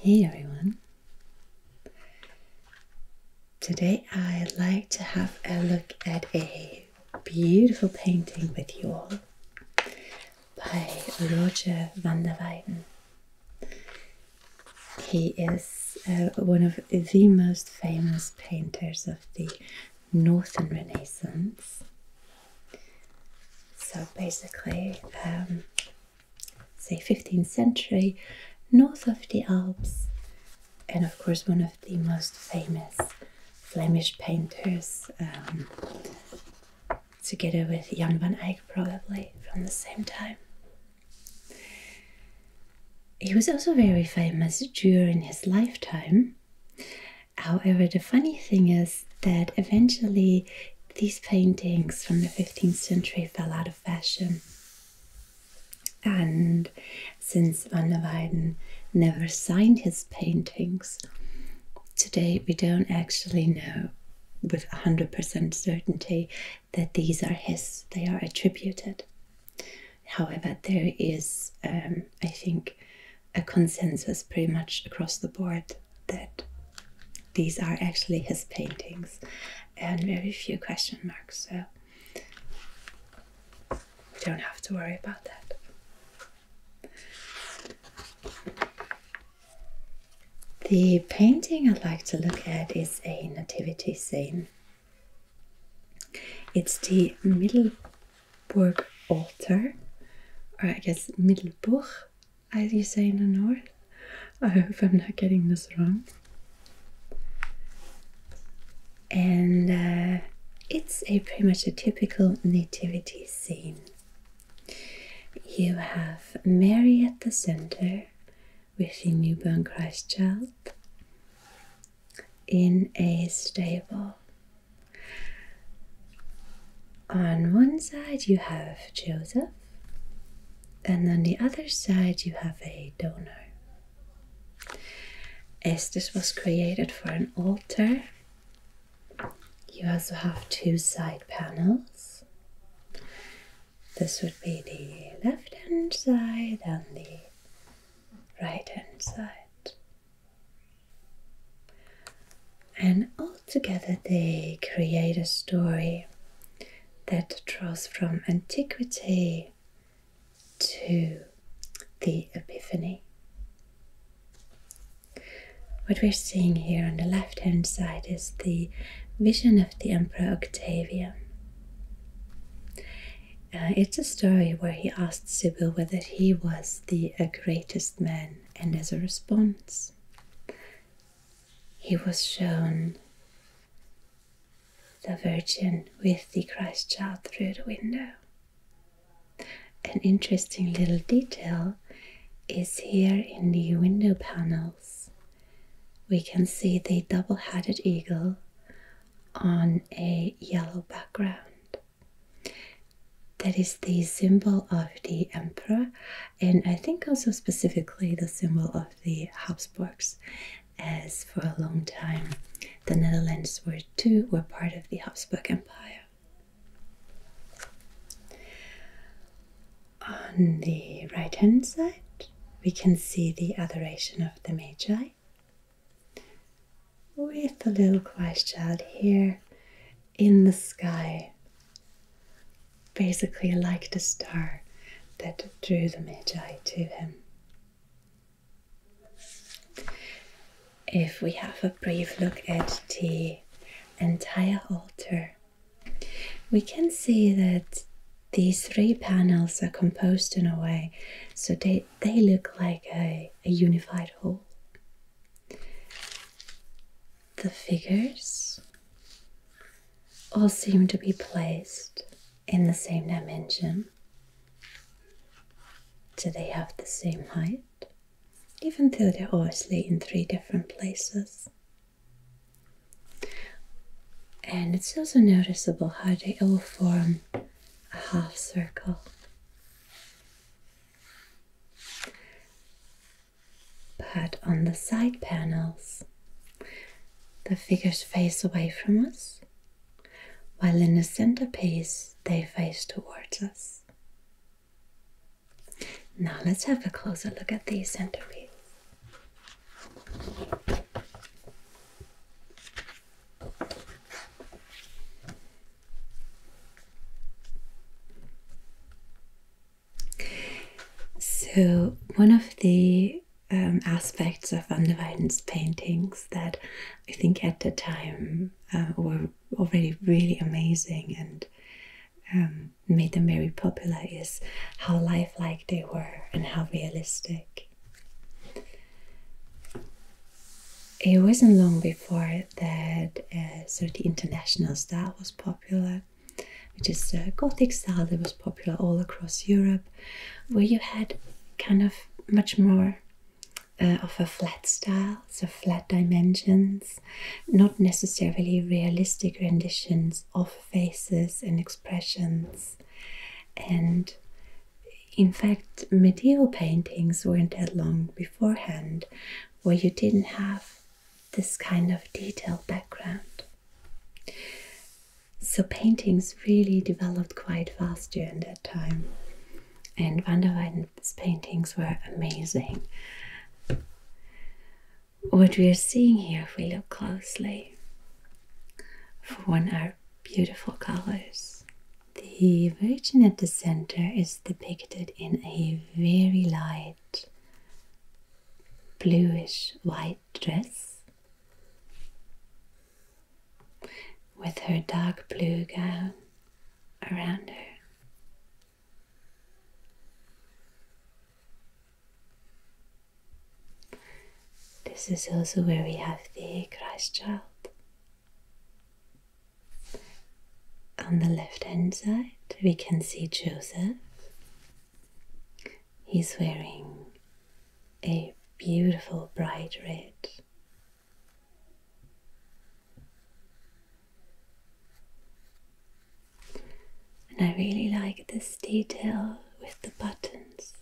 Hey everyone! Today I'd like to have a look at a beautiful painting with you all by Roger van der Weyden. He is uh, one of the most famous painters of the Northern Renaissance. So basically, um, say 15th century, north of the Alps, and of course one of the most famous Flemish painters, um, together with Jan van Eyck, probably from the same time. He was also very famous during his lifetime. However, the funny thing is that eventually these paintings from the 15th century fell out of fashion. And since van der Weyden never signed his paintings, today we don't actually know with 100% certainty that these are his, they are attributed. However, there is, um, I think, a consensus pretty much across the board that these are actually his paintings and very few question marks, so we don't have to worry about that. The painting I'd like to look at is a nativity scene it's the Middelburg altar, or I guess Middelburg, as you say in the north. I hope I'm not getting this wrong. And uh, it's a pretty much a typical nativity scene. You have Mary at the center with the newborn Christ child in a stable. On one side, you have Joseph, and on the other side, you have a donor. As this was created for an altar. You also have two side panels. This would be the left hand side and the right hand side. And altogether they create a story that draws from antiquity to the Epiphany. What we're seeing here on the left hand side is the vision of the Emperor Octavian. Uh, it's a story where he asked Sibyl whether he was the greatest man, and as a response, he was shown the Virgin with the Christ child through the window. An interesting little detail is here in the window panels. We can see the double headed eagle on a yellow background. That is the symbol of the emperor, and I think also specifically the symbol of the Habsburgs, as for a long time the Netherlands were too were part of the Habsburg Empire. On the right hand side, we can see the adoration of the Magi, with the little Christ child here in the sky, basically like the star that drew the Magi to him. If we have a brief look at the entire altar, we can see that these three panels are composed in a way so they, they look like a, a unified whole. The figures all seem to be placed in the same dimension. Do they have the same height? Even though they're obviously in three different places. And it's also noticeable how they all form a half circle. But on the side panels, the figures face away from us, while in the centerpiece, they face towards us. Now let's have a closer look at the centerpiece. So, one of the um, aspects of Van der Weyden's paintings that I think at the time uh, were already really amazing and um, made them very popular is how lifelike they were and how realistic. It wasn't long before that uh, sort of the international style was popular, which is a Gothic style that was popular all across Europe, where you had kind of much more uh, of a flat style, so flat dimensions, not necessarily realistic renditions of faces and expressions. And in fact, medieval paintings weren't that long beforehand where you didn't have this kind of detailed background. So paintings really developed quite fast during that time. And van der Weyden's paintings were amazing. What we are seeing here, if we look closely, for one are beautiful colors. The Virgin at the center is depicted in a very light bluish white dress with her dark blue gown around her. This is also where we have the Christ child. On the left hand side, we can see Joseph. He's wearing a beautiful bright red. And I really like this detail with the buttons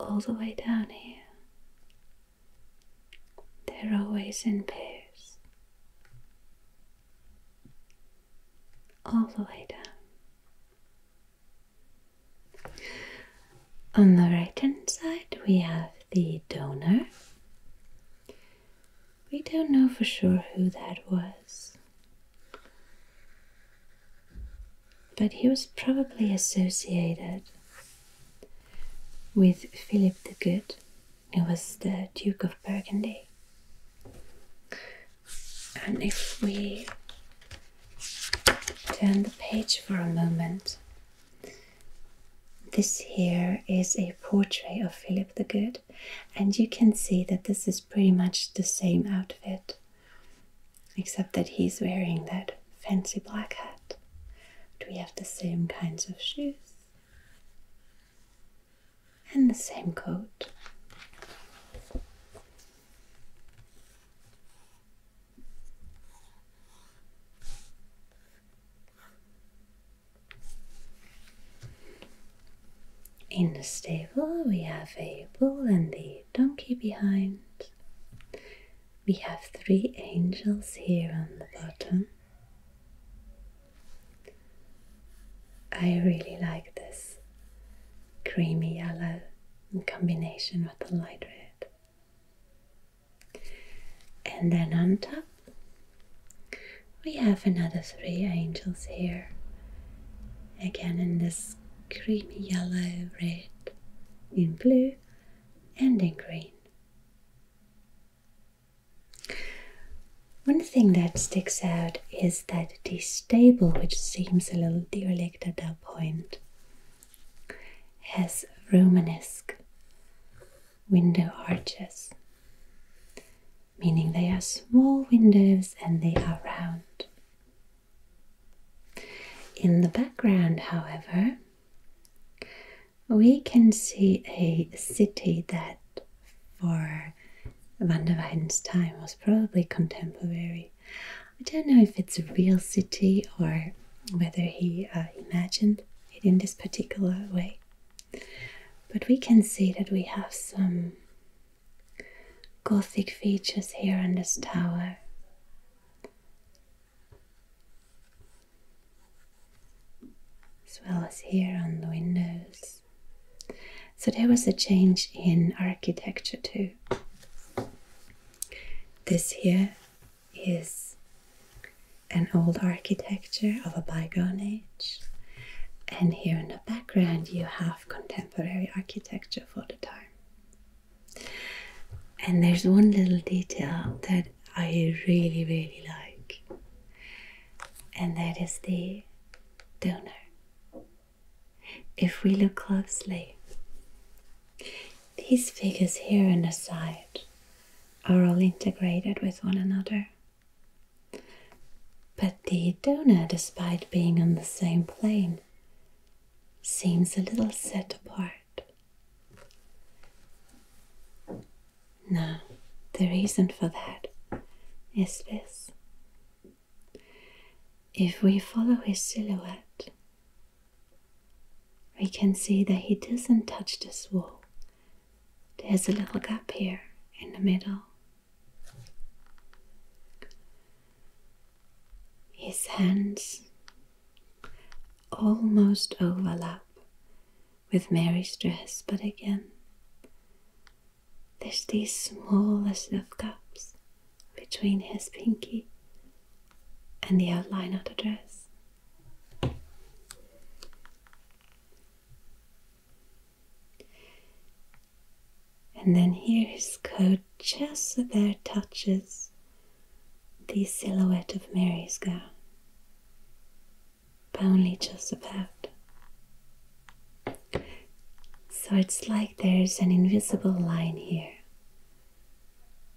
all the way down here. They're always in pairs. All the way down. On the right hand side, we have the donor. We don't know for sure who that was. But he was probably associated with Philip the Good, who was the Duke of Burgundy. And if we turn the page for a moment, this here is a portrait of Philip the Good, and you can see that this is pretty much the same outfit, except that he's wearing that fancy black hat. we have the same kinds of shoes and the same coat. In the stable, we have Abel and the donkey behind. We have three angels here on the bottom. I really like this creamy yellow in combination with the light red. And then on top, we have another three angels here. Again in this creamy yellow, red, in blue, and in green. One thing that sticks out is that this stable, which seems a little derelict at that point, has Romanesque window arches meaning they are small windows and they are round. In the background, however, we can see a city that for Van der Weyden's time was probably contemporary. I don't know if it's a real city or whether he uh, imagined it in this particular way. But we can see that we have some Gothic features here on this tower. As well as here on the windows. So there was a change in architecture too. This here is an old architecture of a bygone and here in the background, you have contemporary architecture for the time. And there's one little detail that I really, really like, and that is the donor. If we look closely, these figures here on the side are all integrated with one another. But the donor, despite being on the same plane, seems a little set apart. Now, the reason for that is this. If we follow his silhouette, we can see that he doesn't touch this wall there's a little gap here in the middle. His hands almost overlap with Mary's dress, but again, there's these smallest of gaps between his pinky and the outline of the dress. And then here his coat just so touches the silhouette of Mary's gown, but only just about. So it's like there's an invisible line here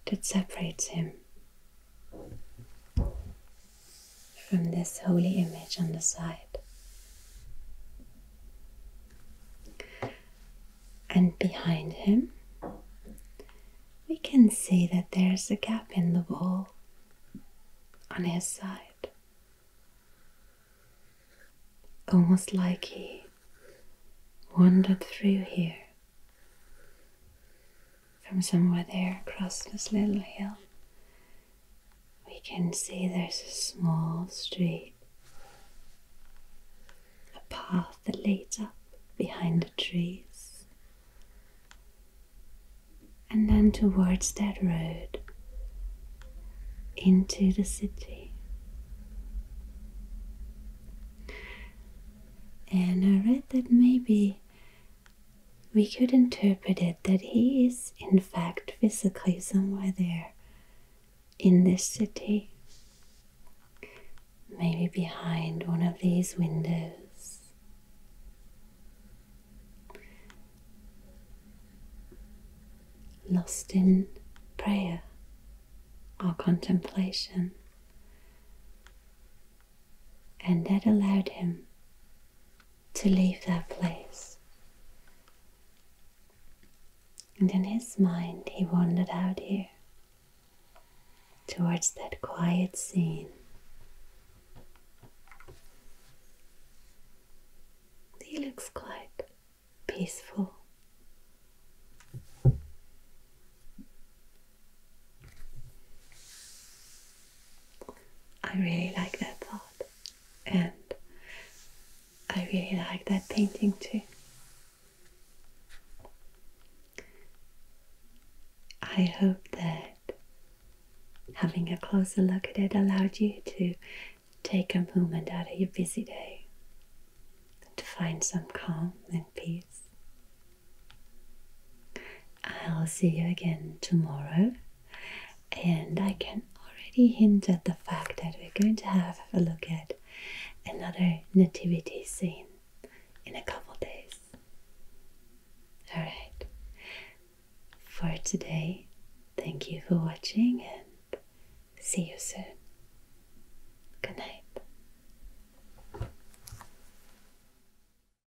that separates him from this holy image on the side. And behind him, we can see that there's a gap in the wall on his side. Almost like he wandered through here from somewhere there across this little hill, we can see there's a small street, a path that leads up behind the trees, and then towards that road into the city. And I read that maybe we could interpret it that he is, in fact, physically somewhere there in this city. Maybe behind one of these windows. Lost in prayer or contemplation. And that allowed him to leave that place. And in his mind, he wandered out here towards that quiet scene. He looks quite peaceful. I really like that thought, and I really like that painting too. I hope that having a closer look at it allowed you to take a moment out of your busy day to find some calm and peace. I'll see you again tomorrow, and I can already hint at the fact that we're going to have a look at another nativity scene in a couple days. Alright, for today, thank you for watching and see you soon. Good night.